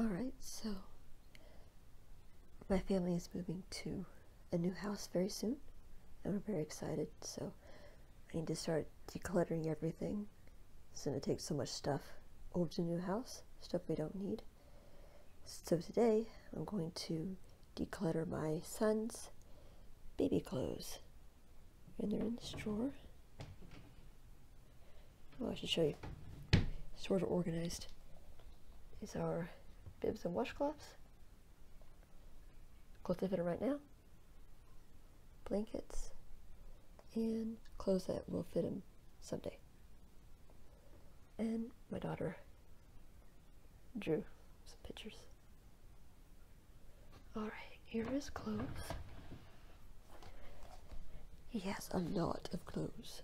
Alright, so my family is moving to a new house very soon, and we're very excited, so I need to start decluttering everything. It's going to take so much stuff over to the new house, stuff we don't need. So today, I'm going to declutter my son's baby clothes. And they're in this drawer. Well, oh, I should show you. Sort of organized. Is our bibs and washcloths. Clothes fit fit right now. Blankets. And clothes that will fit him someday and my daughter drew some pictures. Alright, here is clothes. He has a lot of clothes.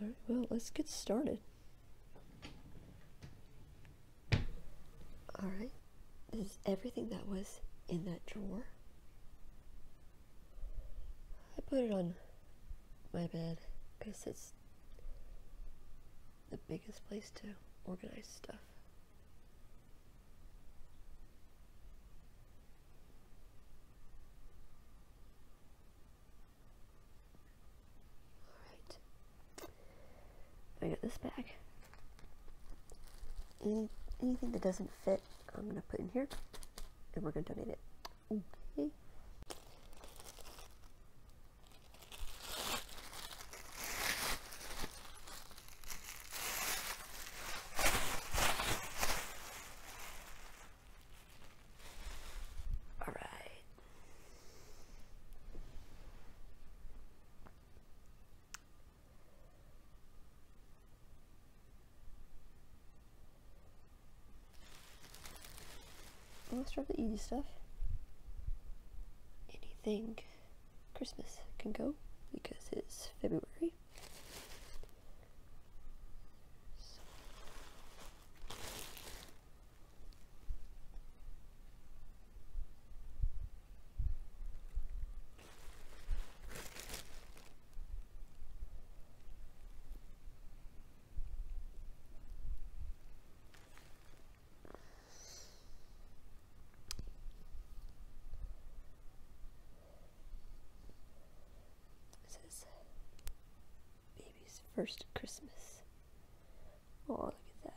Alright, well, let's get started. All right, this is everything that was in that drawer. I put it on my bed because it's the biggest place to organize stuff. All right. I got this bag. Any, anything that doesn't fit, I'm going to put in here and we're going to donate it. Okay. Well, let's drop the easy stuff. Anything Christmas can go because it's February. This is baby's first Christmas. Oh, look at that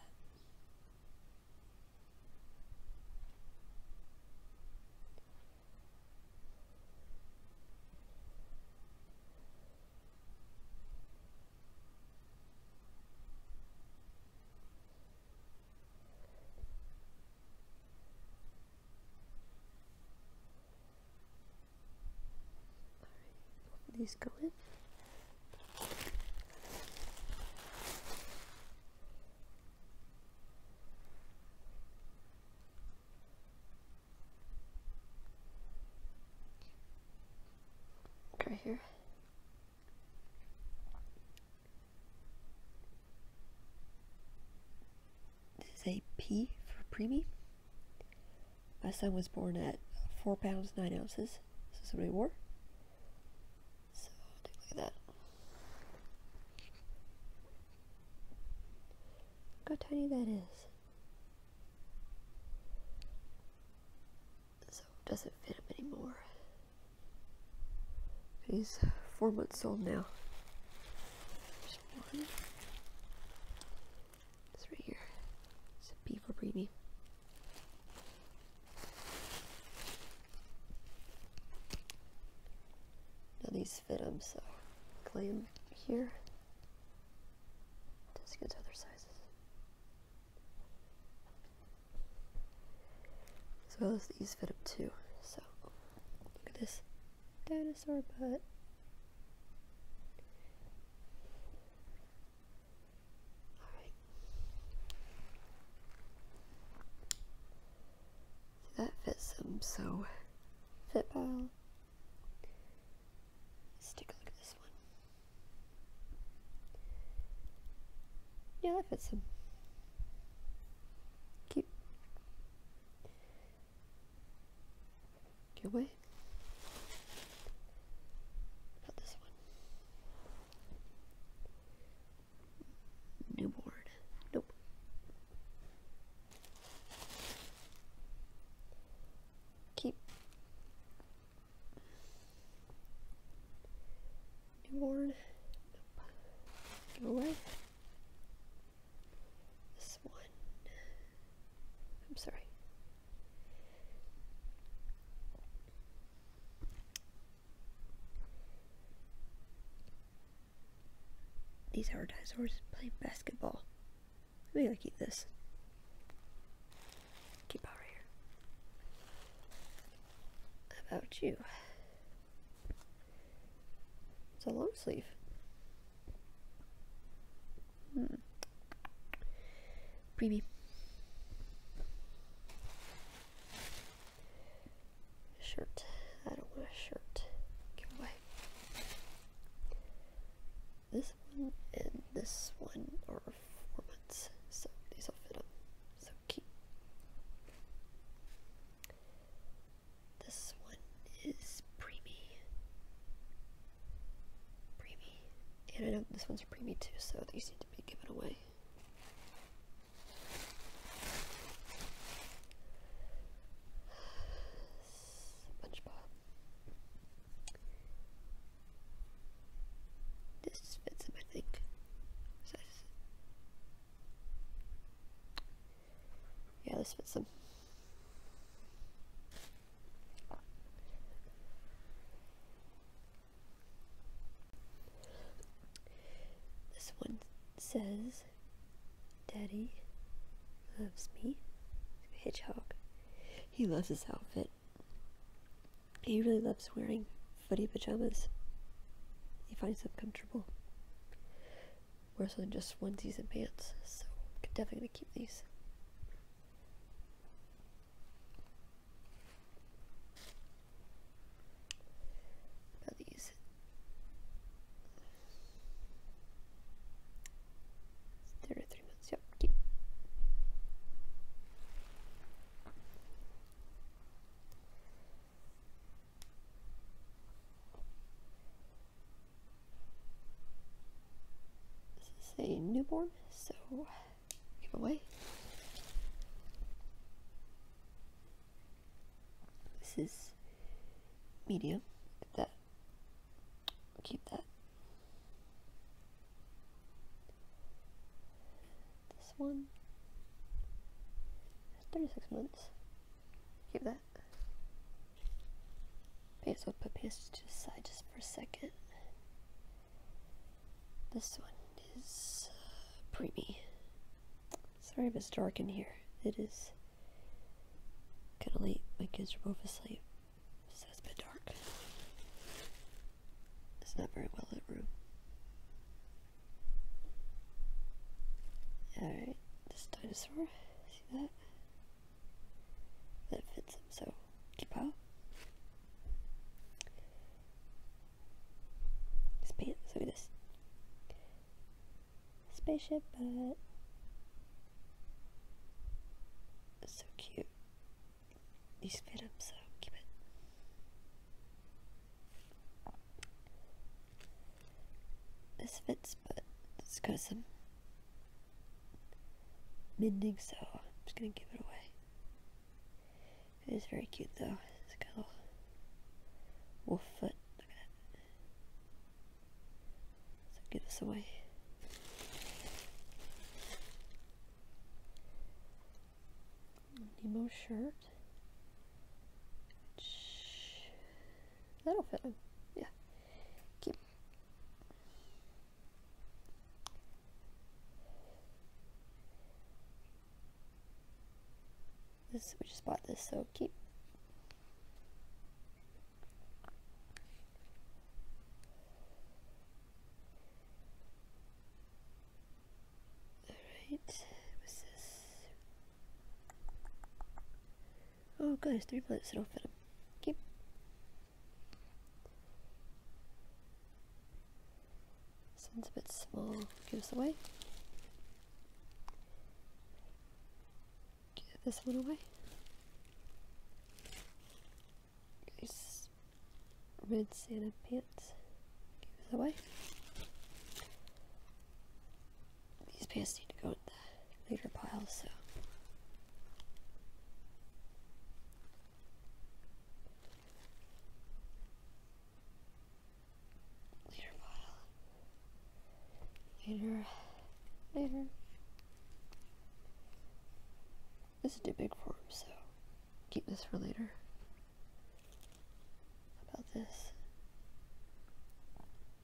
these go in. Right here. This is a P for preemie. My son was born at 4 pounds 9 ounces. This is what he wore. So take a look that. how tiny that is. So doesn't fit him anymore. He's four months old now. It's right here. It's a B for preemie. Now these fit him, so clay them here. Just gets other sizes. As well as these fit them too. So look at this dinosaur butt. Alright. That fits him so fit well. Let's take a look at this one. Yeah, that fits him. Cute. Get away. Not this one. New board. Nope. Keep. New board. Nope. Go away. This one. I'm sorry. These are dinosaurs play basketball. We gotta keep this. Keep out right here. about you? It's a long sleeve. Hmm. Preview. Shirt. I don't want a shirt. Give away. This one and this one are four months, so these will fit up. So cute. This one is preemie. Preemie. And I know this one's preemie too, so these need to be given away. SpongeBob. This fits him, I think. Yeah, this fits him. This one says, Daddy loves me. Hedgehog. He loves his outfit. He really loves wearing footy pajamas. He finds them comfortable. More so than just onesies and pants, so definitely keep these. Bellies. Zero three months. Yep. Keep. This is a newborn, so give away. This is medium. Keep that. Keep that. This one. That's 36 months. Keep that. Paste will put paste to the side just for a second. This one is uh, preemie. Sorry if it's dark in here. It is kind of late. My kids are both asleep, so it's a bit dark. It's not very well lit room. Alright, this dinosaur. See that? That fits him, so keep out. Space, this spaceship, but it's so cute. This fits, but it's got some mending, so I'm just gonna give it away. It is very cute though. It's got a wolf foot. Look give this away. Nemo shirt. That'll fit him. Yeah. Keep. This we just bought this so cheap. Alright, what's this? Oh god, three plants, so do Keep. This Sounds a bit small. Give us away. Give this one away. These red Santa pants. Give us away. These pants need to go in the later pile, so. Later, Bile. Later. Later. This is too big for him, so keep this for later. about this?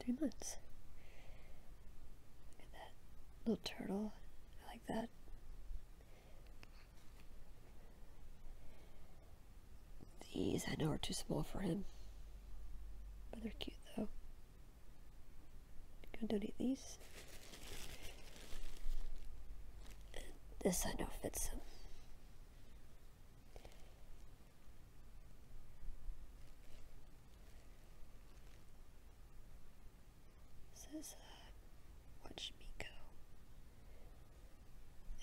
Three months. Look at that little turtle. I like that. These I know are too small for him. But they're cute though. I'm gonna donate these. this I know fits him. Says, uh, watch me go.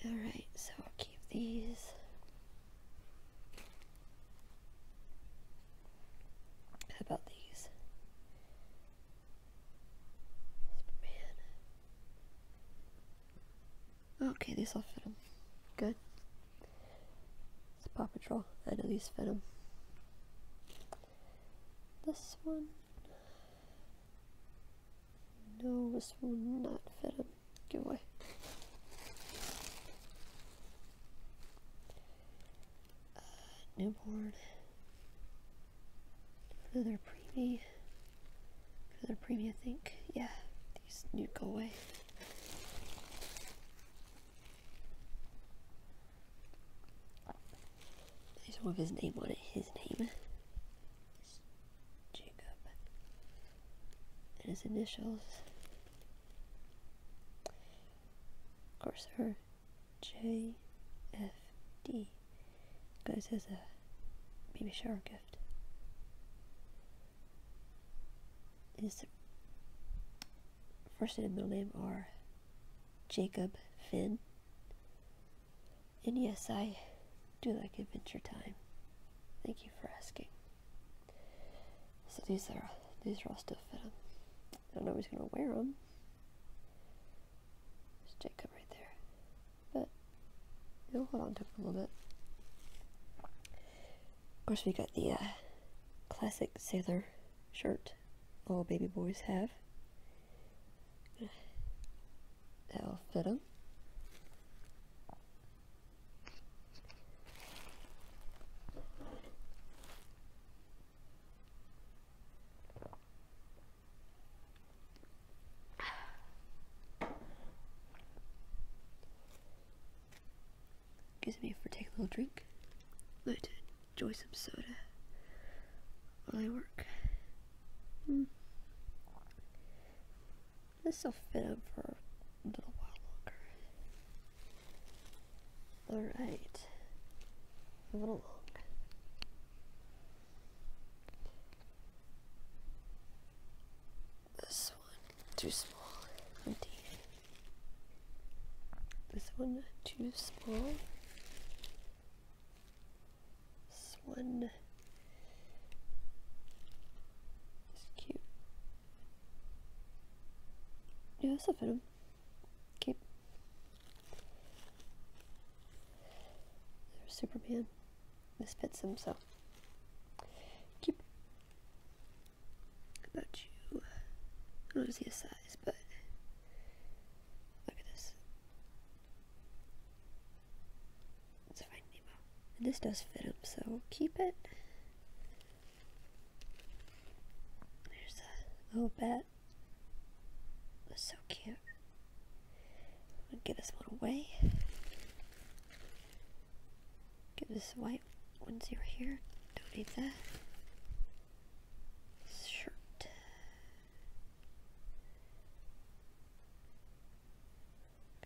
Alright, so I'll keep these. How about these? Okay, these all fit him. Good. It's a Paw Patrol. I know these fit him. This one. No, this will not fit him. Give away. Uh, newborn. Go their preemie. Go their preemie, I think. Yeah, these new go away. There's one with his name on it. His name. Jacob and his initials. Of course, her J F D. goes as a baby shower gift. His first name and middle name are Jacob Finn. And yes, I do like Adventure Time. Thank you for asking. So these are these are all still fit him. I don't know who's gonna wear them. There's Jacob right there, but you'll hold on to it a little bit. Of course, we got the uh, classic sailor shirt all baby boys have. That'll fit him. Excuse me for taking a little drink. Let to enjoy some soda while I work. Hmm. This will fit up for a little while longer. Alright. Move it along. This one too small. This one too small. This one it's cute. Yeah, that's a fit. Keep. Superman. This fits him, so. Keep. about you? Uh, I don't see a size, but. Look at this this does fit him, so keep it. There's a little bat. so cute. I'm gonna get this one away. Get this white one's over here. Don't need that. shirt.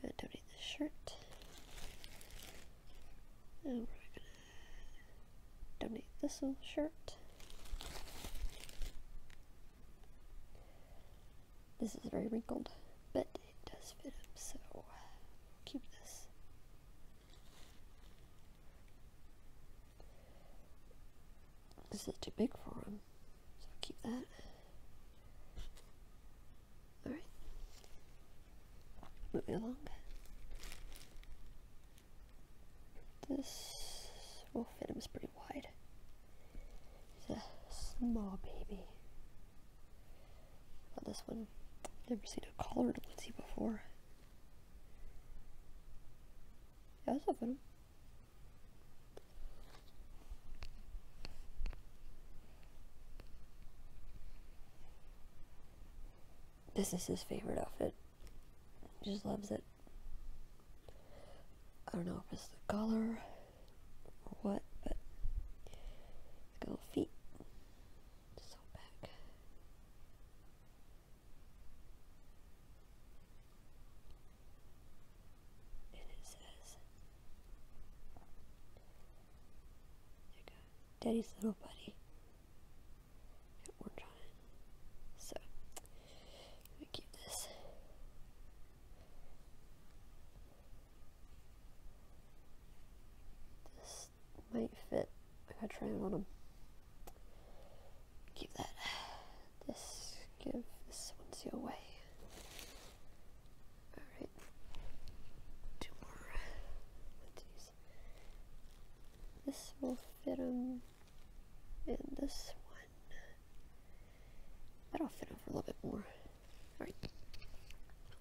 Gonna donate this shirt. And we're gonna donate this little shirt. This is very wrinkled, but it does fit him, so we'll keep this. This is too big for him, so I'll keep that. Alright. Moving along. This will fit him pretty wide. He's a small baby. About this one, never seen a collared onesie before. Yeah, that's a fun. This is his favorite outfit. He just loves it. I don't know if it's the color or what, but it's got little feet. So back. And it says daddy's little buddy. So, let me keep this. This might fit. I gotta try it on him. that. This, give this one to away. Alright. Two more. This will fit him. And this one. That'll fit him a little bit more. Alright.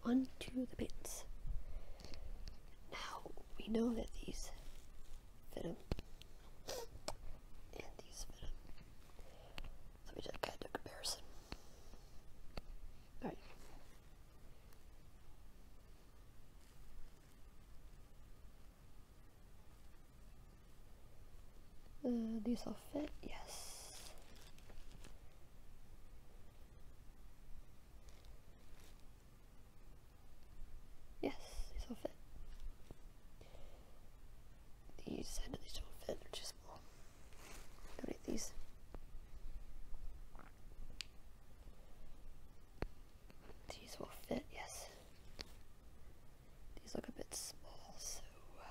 On the pants. Now, we know that these fit him. And these fit him. Let me do a comparison these uh, all fit, yes. Yes, these all fit. These, I know these don't fit, they're too small. Donate these. These will fit, yes. These look a bit small, so... Uh,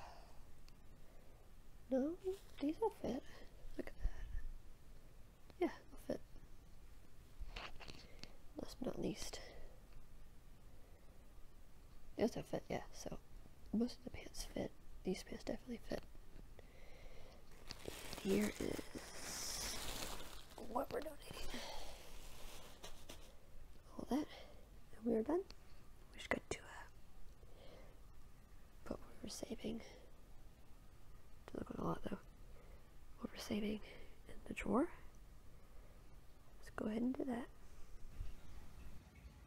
no, these will fit. Look at that. Yeah, they'll fit. Last but not least. Those will fit, yeah, so most of the pants fit. These pants definitely fit. And here is what we're donating. All that. And we are done. We just got to uh, but we are saving. Doesn't look like a lot though. What we're saving in the drawer. Let's go ahead and do that.